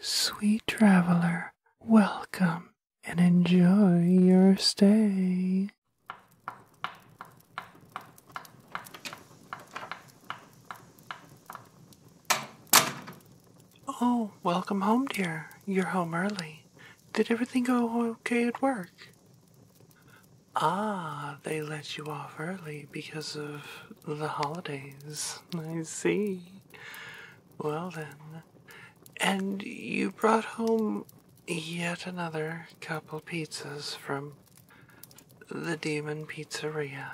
Sweet traveler, welcome and enjoy your stay. Oh, welcome home, dear. You're home early. Did everything go okay at work? Ah, they let you off early because of the holidays. I see. Well then. And you brought home yet another couple pizzas from the Demon Pizzeria.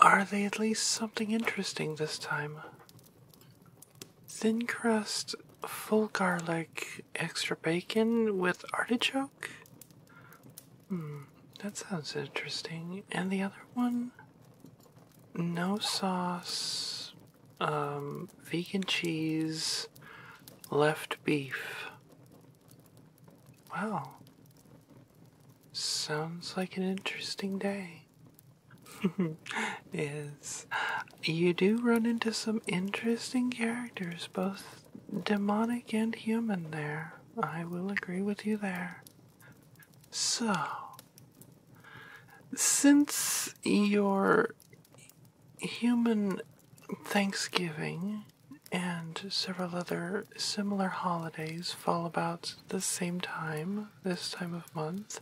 are they at least something interesting this time? Thin crust, full garlic, extra bacon with artichoke? Hmm, that sounds interesting. And the other one? No sauce, um, vegan cheese, left beef. Wow. Sounds like an interesting day. is you do run into some interesting characters, both demonic and human, there. I will agree with you there. So, since your human Thanksgiving and several other similar holidays fall about the same time, this time of month,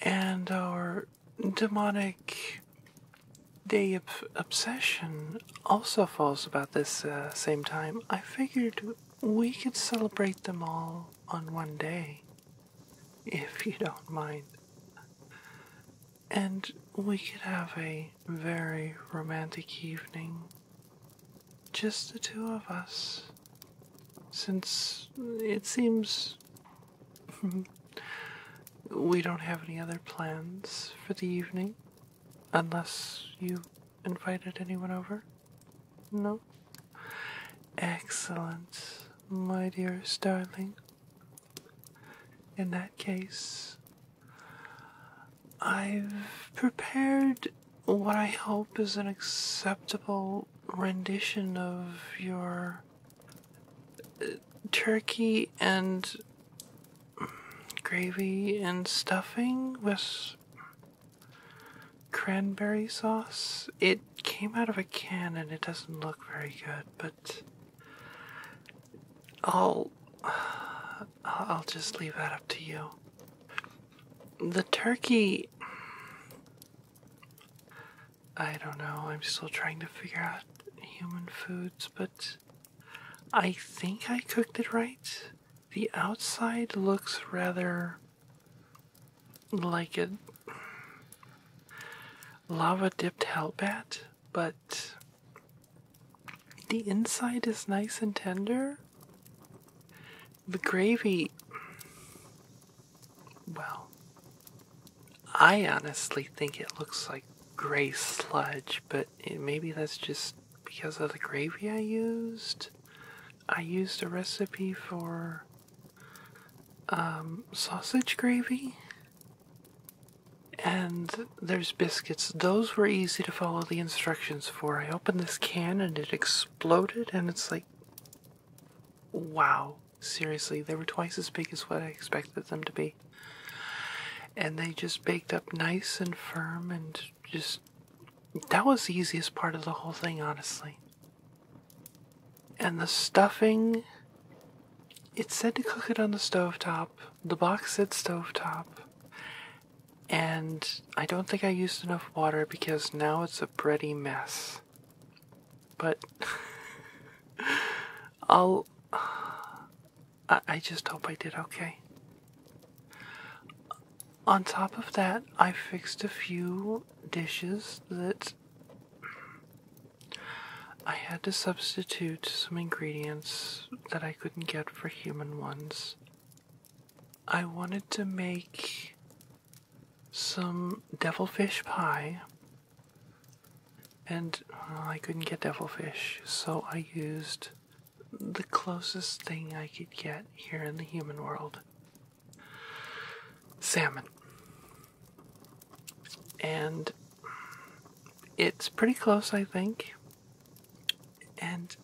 and our demonic day of obsession also falls about this uh, same time, I figured we could celebrate them all on one day, if you don't mind. And we could have a very romantic evening. Just the two of us. Since it seems we don't have any other plans for the evening. Unless you invited anyone over? No? Excellent, my dearest darling. In that case, I've prepared what I hope is an acceptable rendition of your uh, turkey and gravy and stuffing with cranberry sauce. It came out of a can and it doesn't look very good, but I'll I'll just leave that up to you. The turkey I don't know. I'm still trying to figure out human foods, but I think I cooked it right. The outside looks rather like a lava dipped hellbat, but the inside is nice and tender. The gravy, well, I honestly think it looks like gray sludge, but maybe that's just because of the gravy I used. I used a recipe for um, sausage gravy. And there's biscuits. Those were easy to follow the instructions for. I opened this can and it exploded, and it's like, wow. Seriously, they were twice as big as what I expected them to be and they just baked up nice and firm and just that was the easiest part of the whole thing honestly and the stuffing it said to cook it on the stove top. the box said stove top, and i don't think i used enough water because now it's a bready mess but I'll. I, I just hope I did okay. On top of that, I fixed a few dishes that I had to substitute some ingredients that I couldn't get for human ones. I wanted to make some devilfish pie and I couldn't get devilfish, so I used the closest thing I could get here in the human world salmon. And it's pretty close, I think. And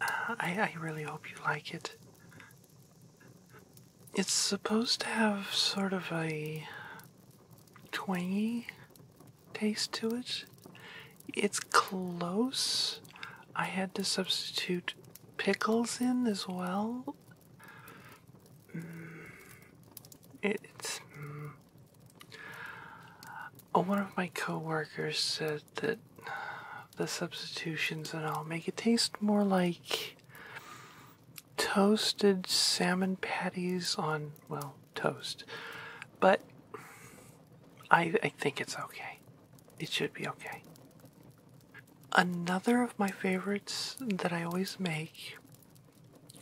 uh, I, I really hope you like it. It's supposed to have sort of a twangy taste to it. It's close. I had to substitute pickles in as well. It, mm. it's. Mm. Oh, one of my coworkers said that the substitutions and all make it taste more like toasted salmon patties on, well, toast. But I, I think it's okay. It should be okay. Another of my favorites that I always make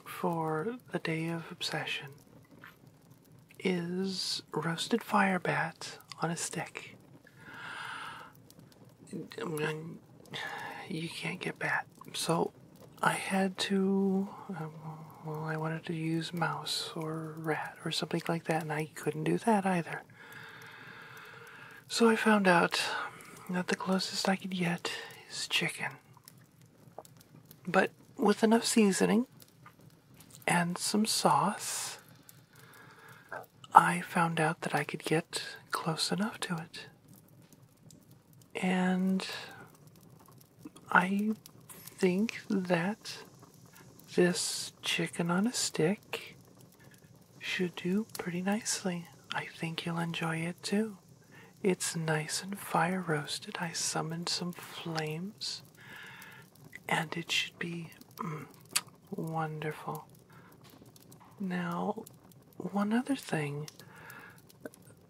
for the day of obsession is roasted fire bat on a stick. You can't get bat so I had to. Um, well, I wanted to use mouse or rat or something like that, and I couldn't do that either. So I found out that the closest I could get is chicken. But with enough seasoning and some sauce, I found out that I could get close enough to it. And I think that this chicken on a stick should do pretty nicely. I think you'll enjoy it too. It's nice and fire roasted. I summoned some flames and it should be mm, wonderful. Now, one other thing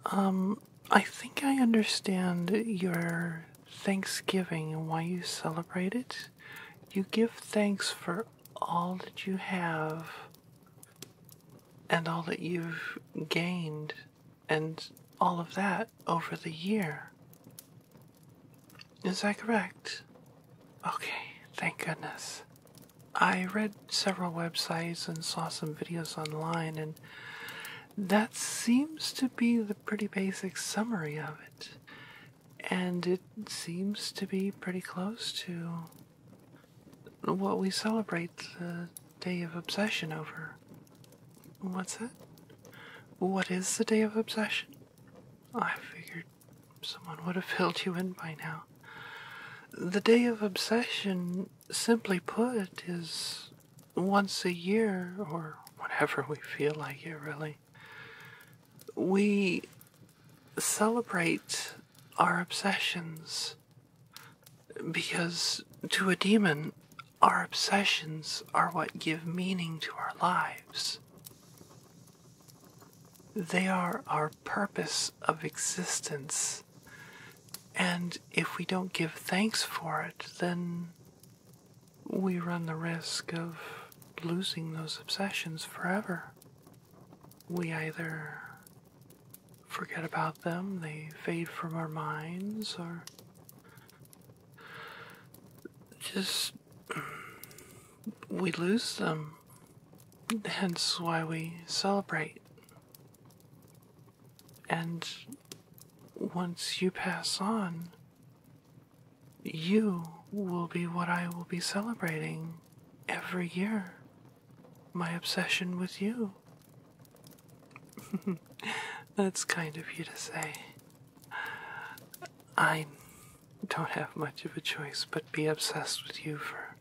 um, I think I understand your Thanksgiving and why you celebrate it. You give thanks for all that you have and all that you've gained and all of that over the year. Is that correct? Okay, thank goodness. I read several websites and saw some videos online, and that seems to be the pretty basic summary of it. And it seems to be pretty close to what we celebrate the Day of Obsession over. What's that? What is the Day of Obsession? I figured someone would have filled you in by now. The Day of Obsession simply put, is once a year, or whenever we feel like it, really, we celebrate our obsessions. Because to a demon, our obsessions are what give meaning to our lives. They are our purpose of existence and if we don't give thanks for it, then we run the risk of losing those obsessions forever. We either forget about them, they fade from our minds, or just we lose them. Hence why we celebrate. And once you pass on, you will be what I will be celebrating every year. My obsession with you. That's kind of you to say. I don't have much of a choice but be obsessed with you for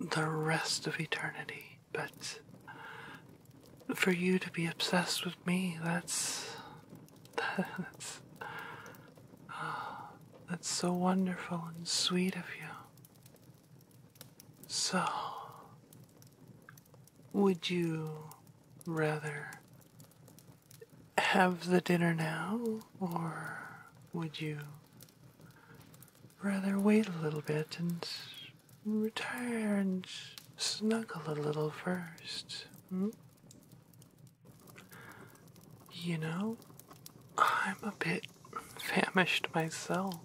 the rest of eternity, but for you to be obsessed with me, that's. That's. Uh, that's so wonderful and sweet of you. So, would you rather have the dinner now, or would you rather wait a little bit and retire and snuggle a little first. Hmm? You know, I'm a bit famished myself.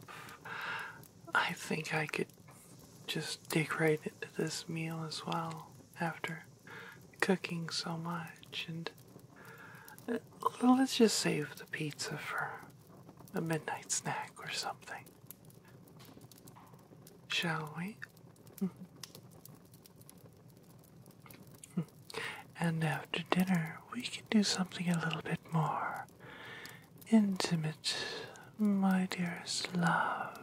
I think I could just dig right into this meal as well after cooking so much and let's just save the pizza for a midnight snack or something. Shall we? Mm-hmm. And after dinner, we can do something a little bit more intimate, my dearest love.